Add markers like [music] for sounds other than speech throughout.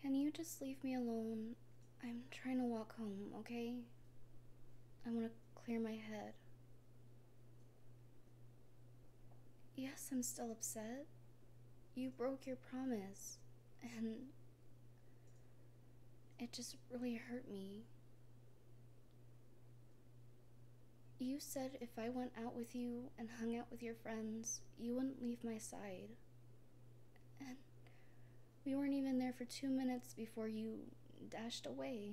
Can you just leave me alone? I'm trying to walk home, okay? I want to clear my head. Yes, I'm still upset. You broke your promise, and it just really hurt me. You said if I went out with you and hung out with your friends, you wouldn't leave my side. And we weren't even there for two minutes before you dashed away.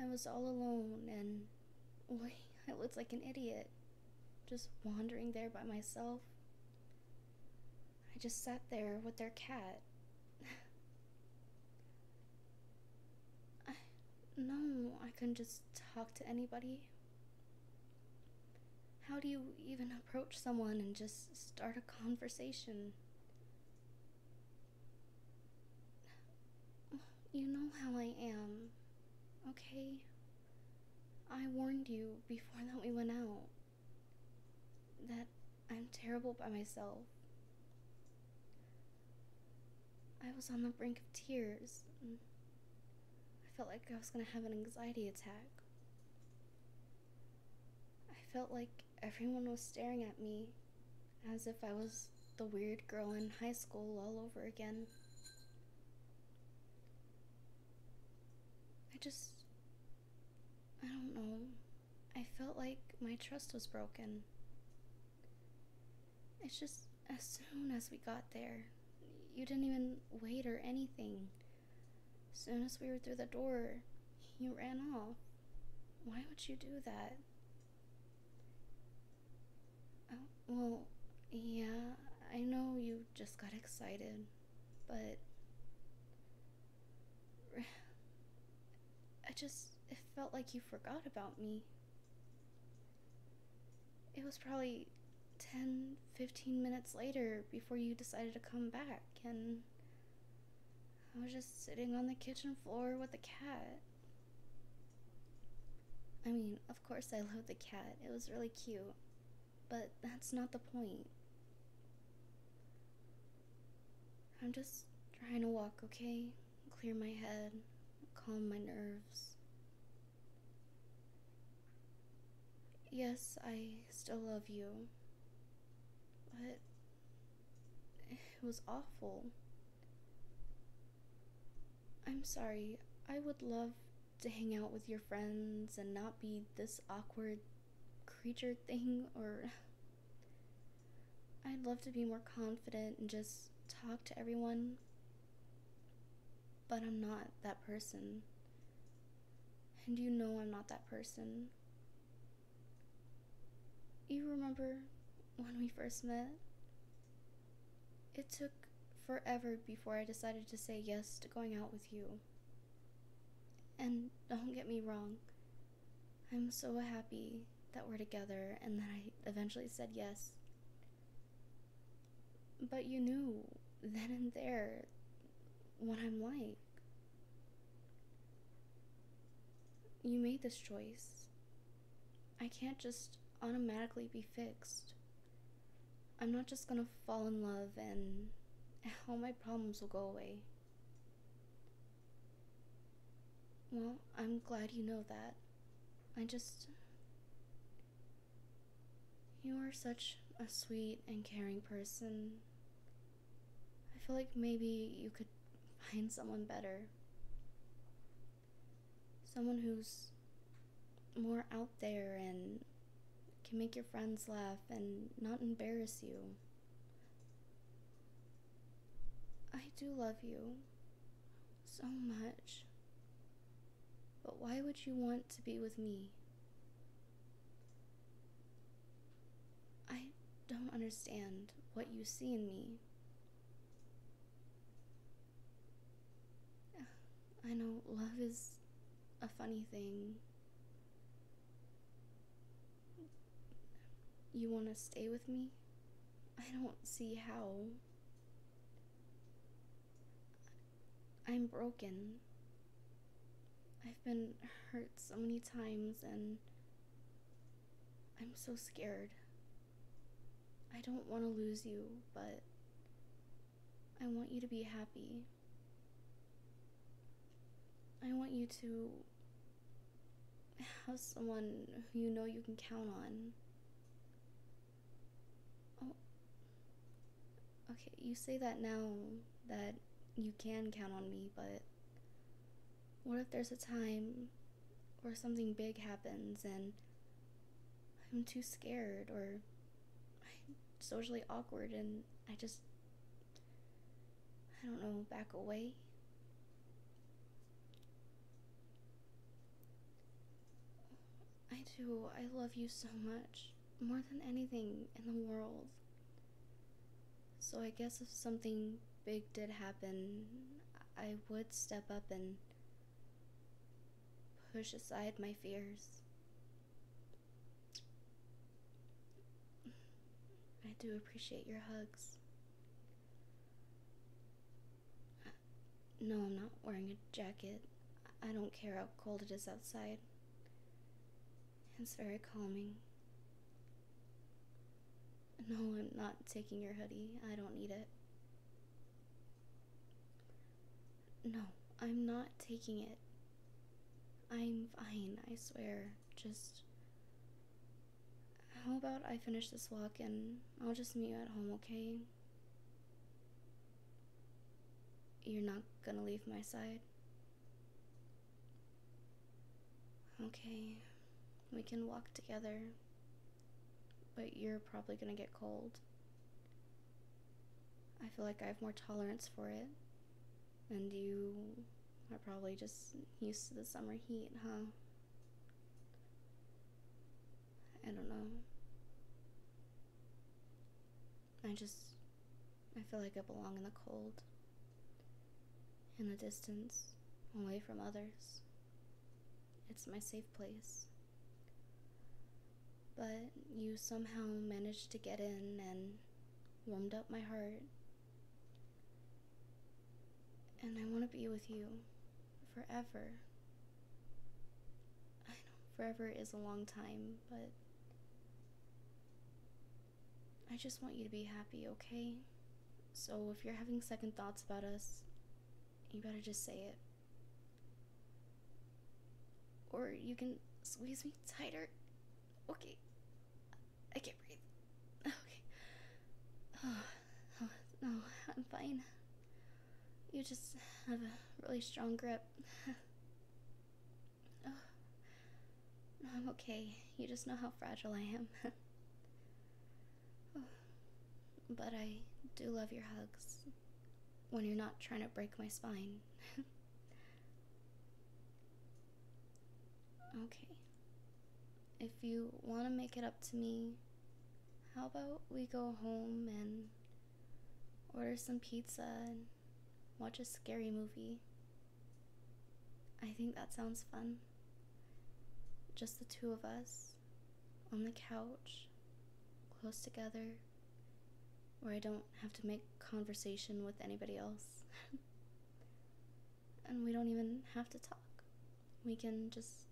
I was all alone and, boy, [laughs] I looked like an idiot, just wandering there by myself. I just sat there with their cat. [laughs] I, no, I can just talk to anybody. How do you even approach someone and just start a conversation? You know how I am, okay? I warned you before that we went out that I'm terrible by myself. I was on the brink of tears. I felt like I was going to have an anxiety attack. I felt like everyone was staring at me as if I was the weird girl in high school all over again. I just. I don't know. I felt like my trust was broken. It's just as soon as we got there, you didn't even wait or anything. As soon as we were through the door, you ran off. Why would you do that? Oh, well, yeah, I know you just got excited, but I just, it felt like you forgot about me. It was probably ten, fifteen minutes later before you decided to come back, and I was just sitting on the kitchen floor with the cat. I mean, of course, I loved the cat, it was really cute, but that's not the point. I'm just trying to walk, okay? Clear my head, calm my nerves. Yes, I still love you. But it was awful. I'm sorry. I would love to hang out with your friends and not be this awkward creature thing or I'd love to be more confident and just talk to everyone, but I'm not that person. And you know I'm not that person. You remember when we first met? It took forever before I decided to say yes to going out with you. And don't get me wrong, I'm so happy that we're together and that I eventually said yes. But you knew then and there what I'm like. You made this choice. I can't just automatically be fixed. I'm not just gonna fall in love and [laughs] all my problems will go away. Well, I'm glad you know that. I just. You are such a sweet and caring person. I feel like maybe you could find someone better. Someone who's more out there and can make your friends laugh and not embarrass you. I do love you so much. But why would you want to be with me? I don't understand what you see in me. I know love is a funny thing. You want to stay with me? I don't see how. I'm broken. I've been hurt so many times and I'm so scared. I don't want to lose you, but I want you to be happy. I want you to have someone who you know you can count on. Oh. Okay, you say that now that you can count on me, but what if there's a time where something big happens and I'm too scared or socially awkward and I just, I don't know, back away. I do. I love you so much. More than anything in the world. So I guess if something big did happen, I would step up and push aside my fears I do appreciate your hugs. No, I'm not wearing a jacket. I don't care how cold it is outside. It's very calming. No, I'm not taking your hoodie. I don't need it. No, I'm not taking it. I'm fine, I swear. Just. How about I finish this walk and I'll just meet you at home, okay? You're not gonna leave my side? Okay, we can walk together but you're probably going to get cold. I feel like I have more tolerance for it, and you are probably just used to the summer heat, huh? I don't know. I just, I feel like I belong in the cold, in the distance, away from others. It's my safe place. But you somehow managed to get in and warmed up my heart. And I want to be with you forever. I know forever is a long time, but I just want you to be happy, okay? So if you're having second thoughts about us, you better just say it. Or you can squeeze me tighter. Okay. I can't breathe. [laughs] Okay. Oh, [sighs] [sighs] no, I'm fine. You just have a really strong grip. [sighs] oh. I'm okay. You just know how fragile I am. [laughs] Oh. But I do love your hugs when you're not trying to break my spine. [laughs] okay. If you want to make it up to me, how about we go home and order some pizza and watch a scary movie? I think that sounds fun. Just the two of us on the couch, close together, where I don't have to make conversation with anybody else. [laughs] and we don't even have to talk. We can just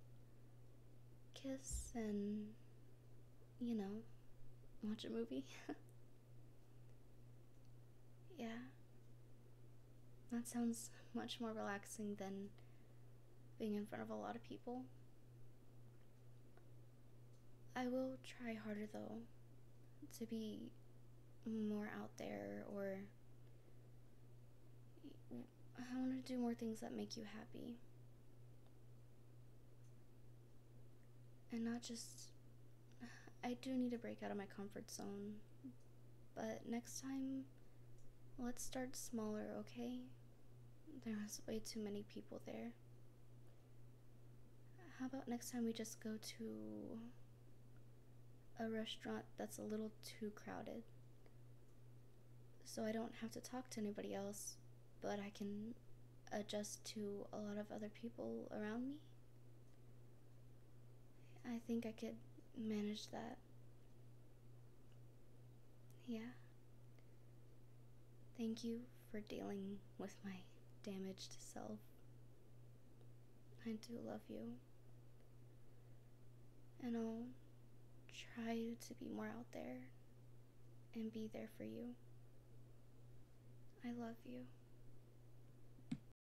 kiss and, you know, watch a movie. [laughs] yeah, that sounds much more relaxing than being in front of a lot of people. I will try harder though to be more out there or I want to do more things that make you happy. And not just I do need to break out of my comfort zone. But next time Let's start smaller, okay? There was way too many people there. How about next time we just go to a restaurant that's a little too crowded? So I don't have to talk to anybody else, but I can adjust to a lot of other people around me? I think I could manage that. Yeah. Thank you for dealing with my damaged self. I do love you. And I'll try to be more out there and be there for you. I love you.